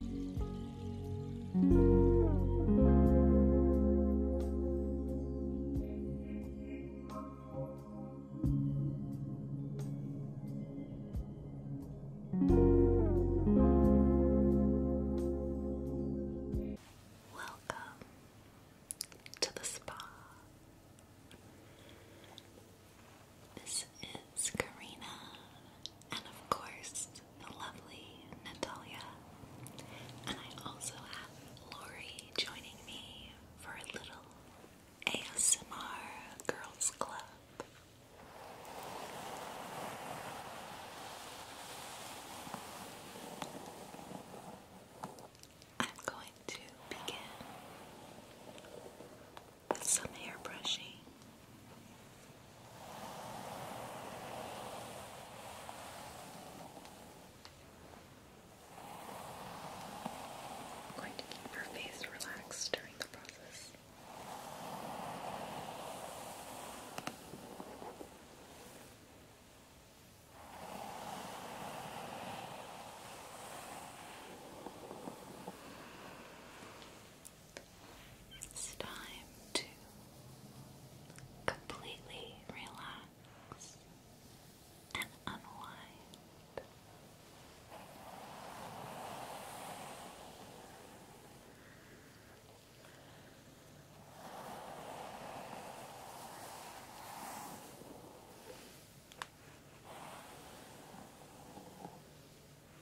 Welcome to the spa. This is Karina and of course, the lovely Natalia. And I also have Lori joining me for a little ASMR Girls Club. I'm going to begin with some hair brushing. I'm going to keep your face relaxed during the process. It's time to completely relax and unwind.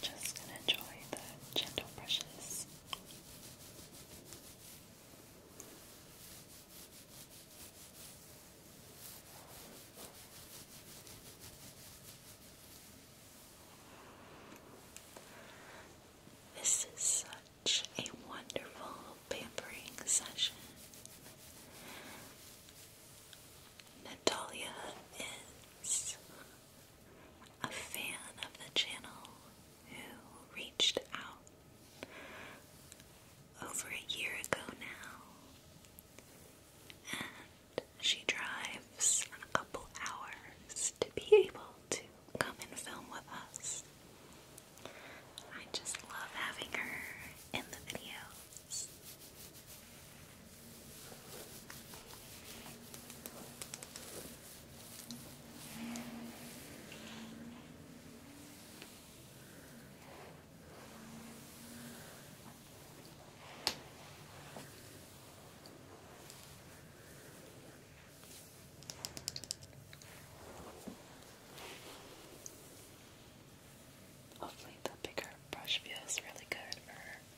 Just enjoy the gentle brushes. This is such a wonderful pampering session. Natalia is a fan of the channel who reached out over a year ago now, and she drives a couple hours to be able to come and film with us. I just love having her in the videos. Hopefully, the bigger brush feels really good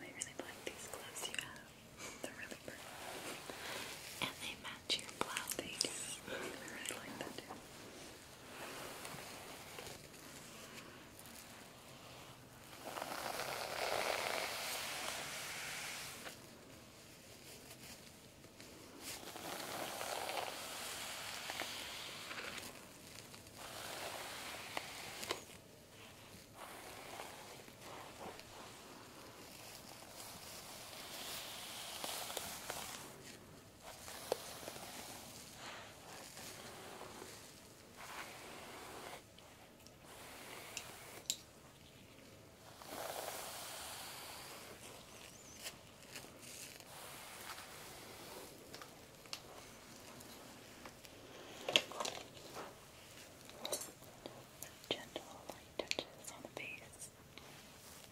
I really like these gloves you have. They're really pretty. And they they match your blouse. They do. I really like that too. I Gentle light touches on the face.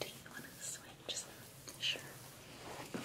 Do you want to switch? Sure. Okay.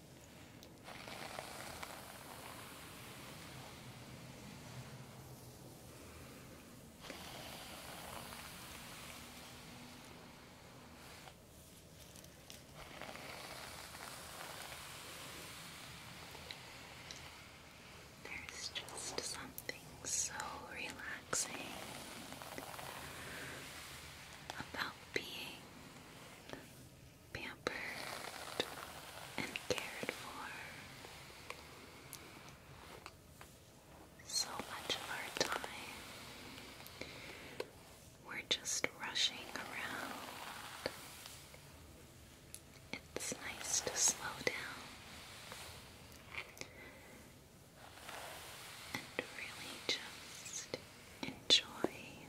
There's just something so relaxing about being pampered and cared for. So much of our time we're just rushing around. It's nice to slow down and really just enjoy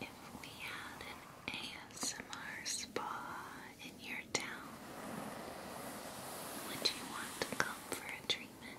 If we had an ASMR spa in your town, would you want to come for a treatment?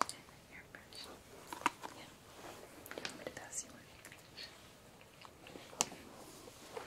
And the airbrush. Yeah. Do you want me to pass you one? Okay.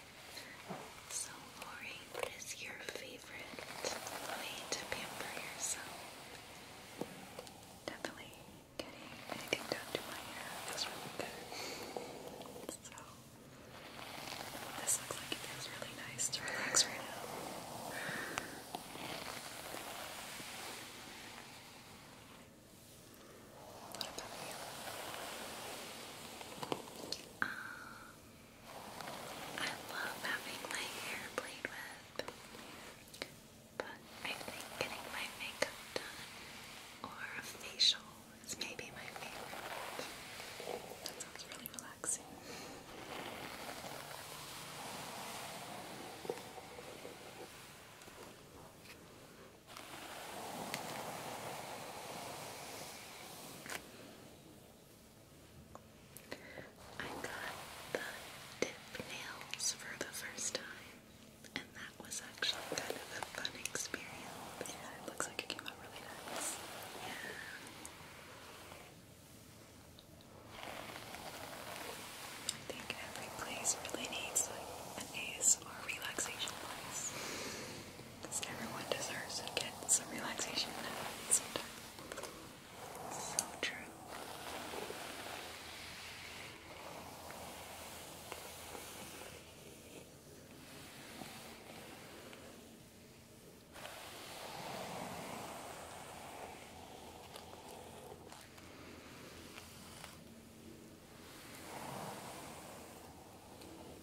So, Lori, what is your favorite way to pamper yourself? Definitely getting anything done to my hair feels really good. So, this looks like it feels really nice to relax right now. What I love having my hair played with, but I think getting my makeup done or a facial is maybe my favorite. That sounds really relaxing. I got the dip nails for the first time, and that was actually kind of a fun experience. Yeah, it looks like it came out really nice. Yeah. I think every place really needs like an ASMR relaxation place everyone deserves to get some relaxation at some time. So true.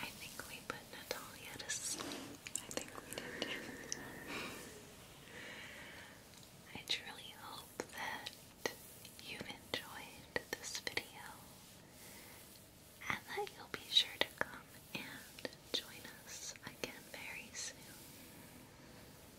I think we put Natalia to sleep. I think we did. I truly hope that you've enjoyed this video and that you'll be sure to come and join us again very soon.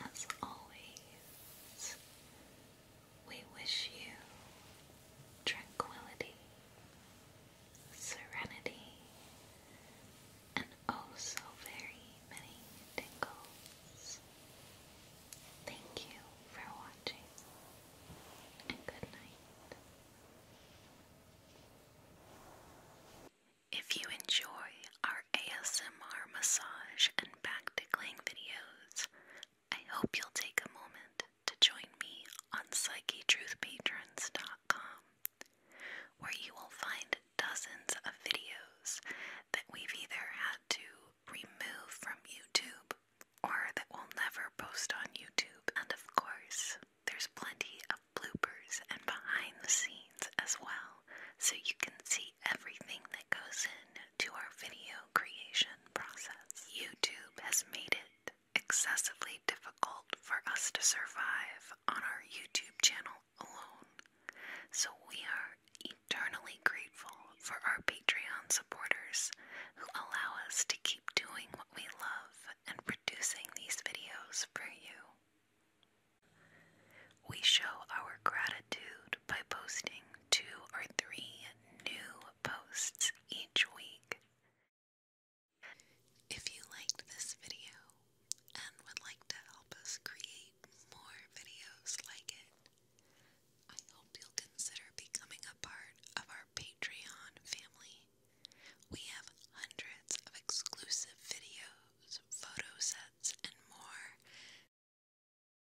As always, we wish you tranquility, serenity, and oh so very many tingles. Thank you for watching, good night. If you enjoy our ASMR massage and back tickling videos, I hope you'll take a moment to join me on PsycheTruthPatrons.com, where you will find dozens of videos that we've either had to remove from YouTube or that we'll never post on YouTube. And of course, there's plenty of bloopers and behind the scenes as well, so you can see everything that goes in to our videos creation process. YouTube has made it excessively difficult for us to survive on our YouTube channel alone, so we are eternally grateful for our Patreon supporters who allow us to keep doing what we love and producing these videos for you. We show our gratitude by posting two or three new posts each week. If you liked this video and would like to help us create more videos like it, I hope you'll consider becoming a part of our Patreon family. We have hundreds of exclusive videos, photo sets, and more